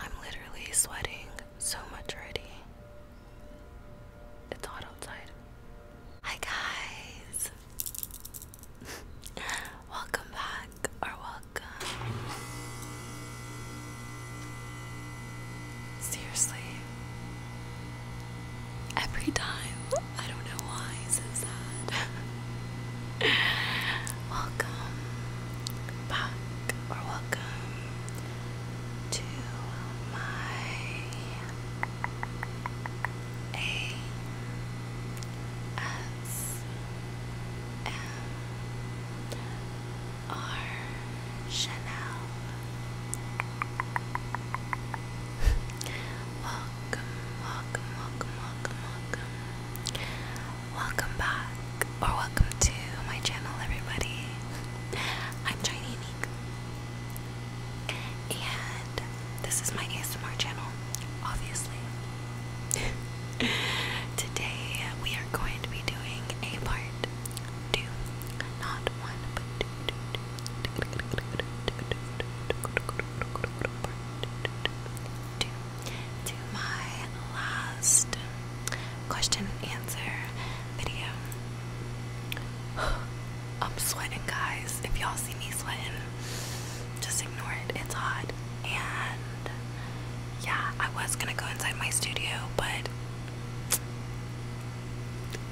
I'm literally sweating so much already. It's hot outside. Hi guys! welcome back or welcome. Seriously. Every time. I don't know why, so sad. welcome back or welcome to my A S M R Chanel. welcome, welcome, welcome, welcome, welcome. Welcome back, or welcome to my channel, everybody. I'm China Unique, and this is my ASMR channel, obviously. Today, we are going to be doing a part two, not one, but two to my last question answer video. I'm sweating, guys. If y'all see me sweating, just ignore it. It's hot. And yeah, I was gonna go inside my studio, but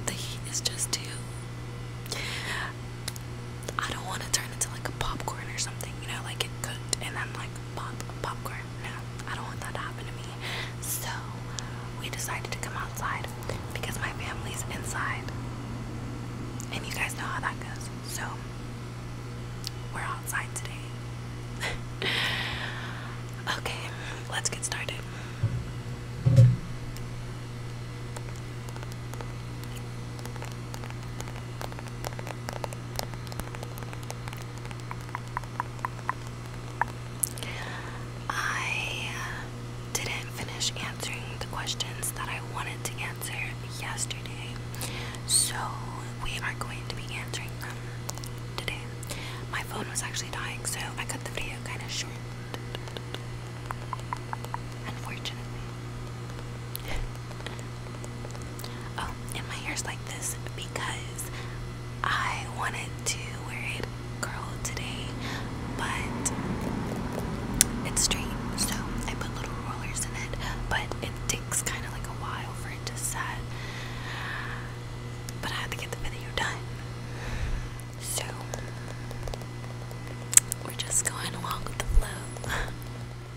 the heat is just too. I don't want to turn into like a popcorn or something, you know, like it cooked and then like pop popcorn no, I don't want that to happen to me. So we decided to come outside because my family's inside. And you guys know how that goes. So we're outside today. okay, let's get started. I didn't finish answering the questions that I wanted to answer yesterday, so we are going to be answering them today. My phone was actually dying, so I cut the video kind of short, unfortunately. Oh, and my hair is like this because I wanted to wear it curled today, but it's straight, so I put little rollers in it, but it takes kind of like a while for it to set. But I had to get the video done, so we're just going along with the flow.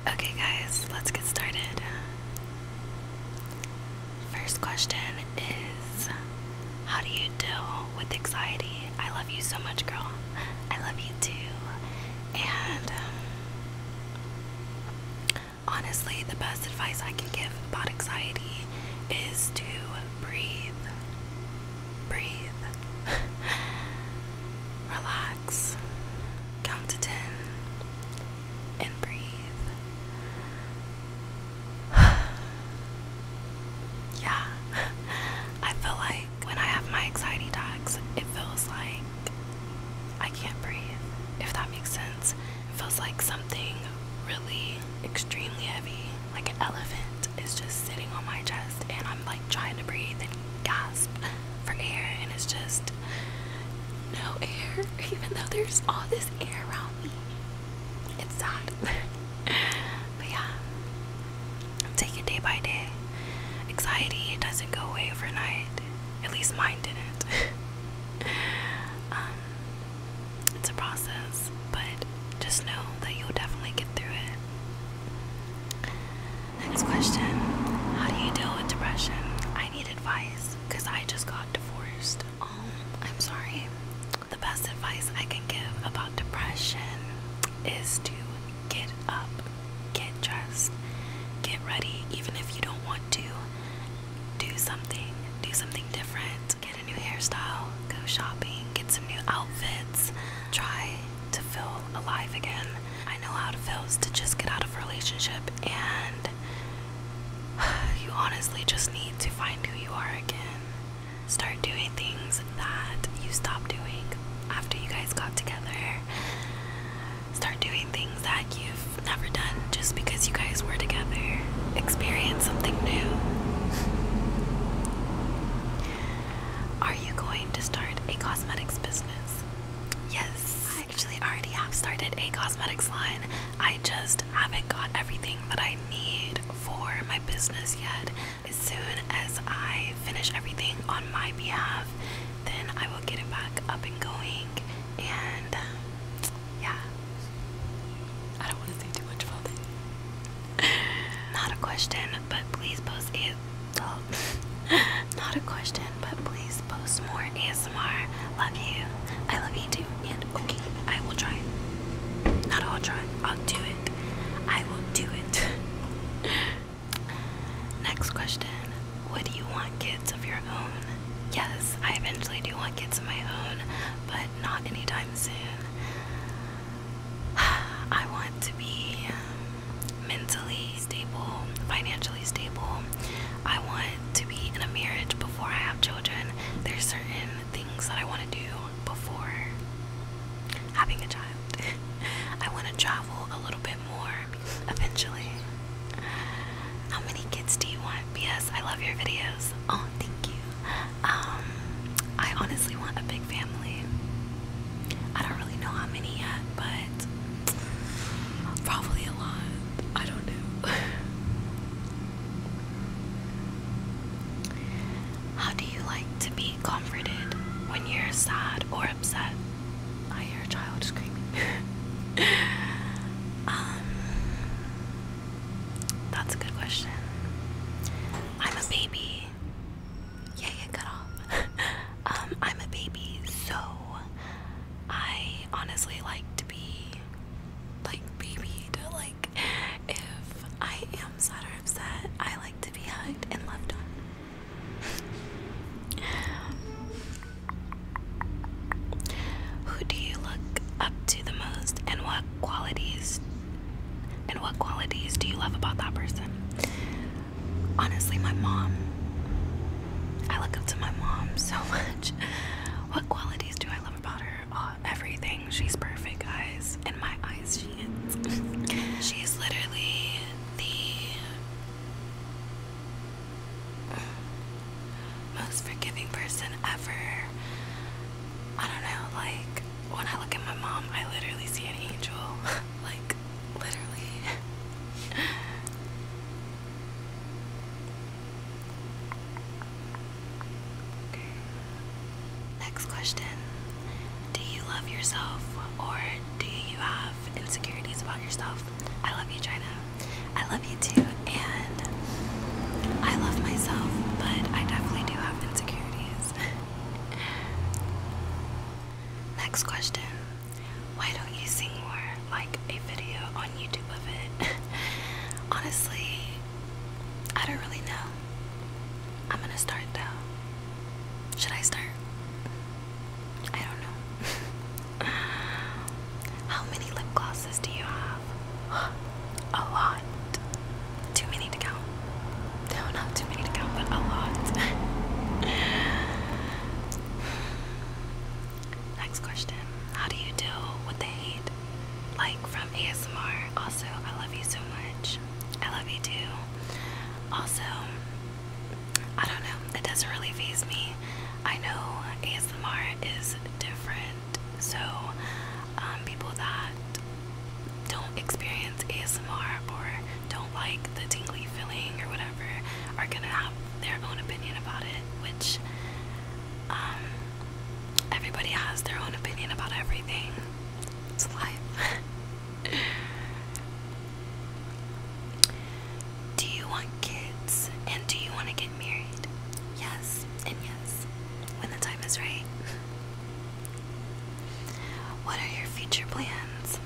Okay, guys, let's get started. First question is How do you deal with anxiety? I love you so much, girl. I love you too. And um, honestly, the best advice I can give about anxiety is to breathe. Breathe. Relax. Count to 10 and breathe. yeah, I feel like when I have my anxiety attacks, it feels like I can't breathe, if that makes sense. It feels like something really extremely heavy, like an elephant, is just sitting on my chest, and I'm like trying to breathe and gasp for air, and it's just no air, even though there's all this air around me. It's sad. but yeah, take it day by day. Anxiety doesn't go away overnight. At least mine didn't. um, it's a process, but just know that you'll definitely get through it. Next question How do you deal with depression? I need advice because I just got divorced. Oh, I'm sorry. The best advice I can give about depression is to get up, get dressed, get ready, even if you don't want to. Do something, do something different. Get a new hairstyle, go shopping, get some new outfits, try to feel alive again. I know how it feels to just get out of a relationship and you honestly just need to find who you are again. Start doing things that you stopped doing after you guys got together. Start doing things that you've never done just because you guys were together. Experience something new. Are you going to start a cosmetics business? Yes. I actually already have started a cosmetics line. I just haven't got everything that I need for my business yet. As soon as I finish everything on my behalf, then I will get it back up and going. And yeah, I don't want to say too much about it. Not a question, but please post it. not a question, but please post more ASMR. Love you. I love you too. And okay, I will try. Not all try. I'll do it. I will do it. Next question. Would you want kids of your own? Yes, I eventually do want kids of my own, but not anytime soon. I want to be mentally stable, financially stable. I want to be in a marriage before I have children. There's certain things that I want to do before having a child. I want to travel a little bit more eventually. How many kids do you want? B.S. I love your videos. Oh, thank you. Um, I honestly want a big family. I don't really know how many yet, but lot. Probably a lot. I don't know. How do you like to be comforted when you're sad or upset? I hear a child screaming. um, that's a good question. I'm a baby. Yeah, yeah, cut off. Um, I'm a baby, so I honestly like to be like babied. Like, if I am sad or upset, I like to be hugged and loved on. Who do you look up to the most, and what qualities? And what qualities do you love about that person? honestly, my mom. I look up to my mom so much. What qualities do I love about her? Uh, everything. She's perfect, guys. In my eyes, she is. she is literally the most forgiving person ever. I don't know, like, when I look at my mom, I literally see an angel. like, Literally. okay. Next question. Do you love yourself or do you have insecurities about yourself? I love you, China. I love you too, and I love myself, but I definitely do have insecurities. Next question why don't you sing more? Like a video on YouTube of it. Honestly, I don't really know. I'm gonna start though. Should I start? I don't know. How many lip glosses do you have? a lot. Too many to count. No, not too many to count, but a lot. Next question. How do you deal with the hate? Like from ASMR. Also, I love you so much. I love you too. Also, I don't know. It doesn't really phase me. I know ASMR is different. So, um, people that don't experience ASMR or don't like the tingly feeling or whatever are gonna have their own opinion about it, which um, everybody has their own opinion about everything. It's life. do you want kids and do you want to get married? Yes and yes, when the time is right. What are your future plans?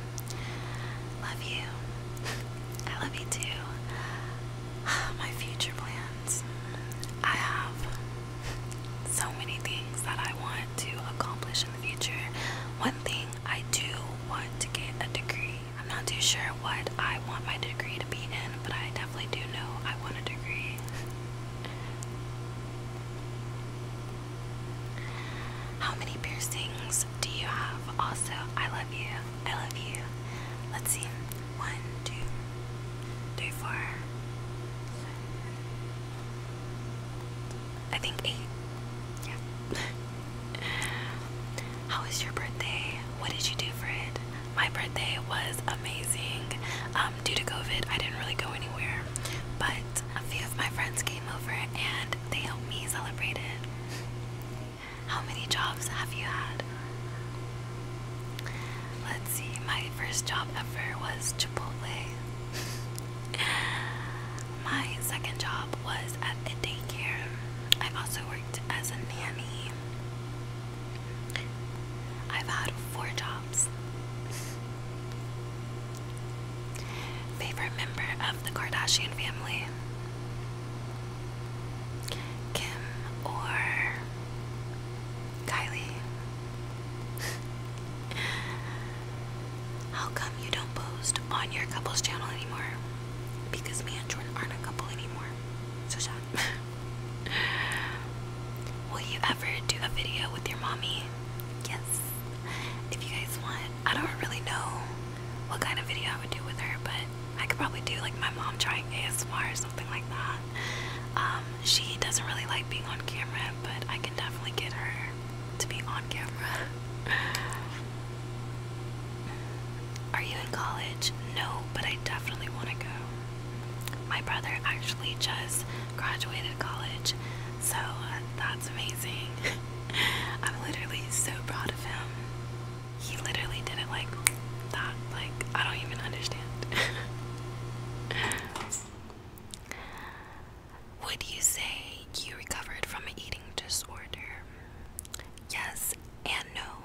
Love you. I love you too. My future plans. I have so many things that I want to accomplish in the future. One thing I do want to get a degree. I'm not too sure what I want my degree to be in, but I definitely do know I want a degree. How many piercings do you have? Also, I love you. I love you. Let's see. One, two, three, four. I think eight. Yeah. How was your birthday? What did you do for it? My birthday was amazing. Um, due to COVID, I didn't really go anywhere, but a few of my friends came over and they helped me celebrate it. How many jobs have you had? Let's see, my first job ever was Chipotle. my second job was at a daycare. I also worked as a nanny. I've had four jobs. Favorite member of the Kardashian family? Kim or Kylie? How come you don't post on your couple's channel anymore? Because me and Jordan aren't a couple anymore. So shut Will you ever do a video with your mommy? Yes. If you guys want, I don't really know what kind of video I would do with her, but I could probably do like my mom trying ASMR or something like that. Um, she doesn't really like being on camera, but I can definitely get her to be on camera. Are you in college? No, but I definitely want to go. My brother actually just graduated college so uh, that's amazing. I'm literally so proud of him. He literally did it like that. Like, I don't even understand. Would you say you recovered from an eating disorder? Yes and no.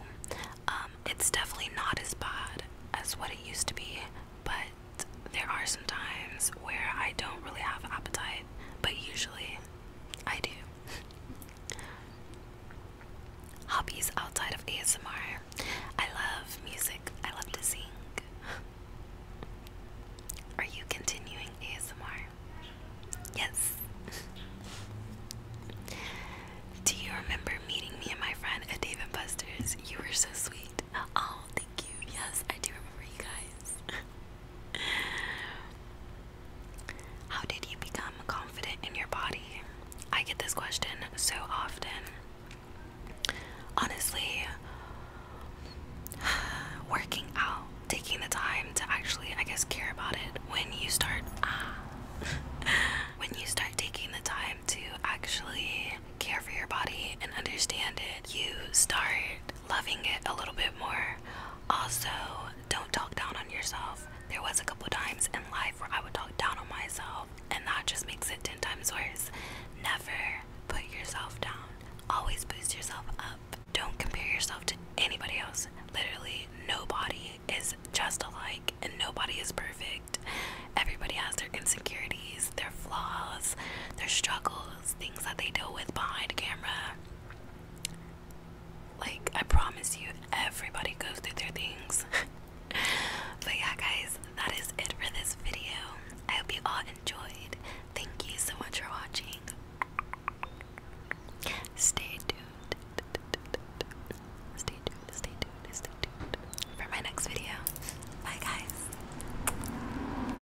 Um, it's definitely not as bad as what it used to be, but there are some times where I don't really have appetite but usually I do. Hobbies outside of ASMR. I love music. I love to sing. Are you continuing ASMR? Yes. Do you remember meeting me and my friend at Dave and Buster's? You were so sweet. Oh, thank you. Yes, I do remember you guys. How did you become confident in your body? I get this question so often. Honestly, working out, taking the time to actually, I guess, care about it when you start, when you start taking the time to actually care for your body and understand it, you start loving it a little bit more. Also, don't talk down on yourself. There was a couple times in life where I would talk down on myself, and that just makes it 10 times worse. Never put yourself down, always boost yourself up. Don't compare yourself to anybody else. Literally, nobody is just alike, and nobody is perfect. Everybody has their insecurities, their flaws, their struggles things that they deal with behind camera. Like, I promise you, everybody goes through their things. but yeah, guys, that is it for this video. I hope you all enjoyed. Thank you so much for watching. Stay tuned. Stay tuned, stay tuned, stay tuned for my next video. Bye, guys.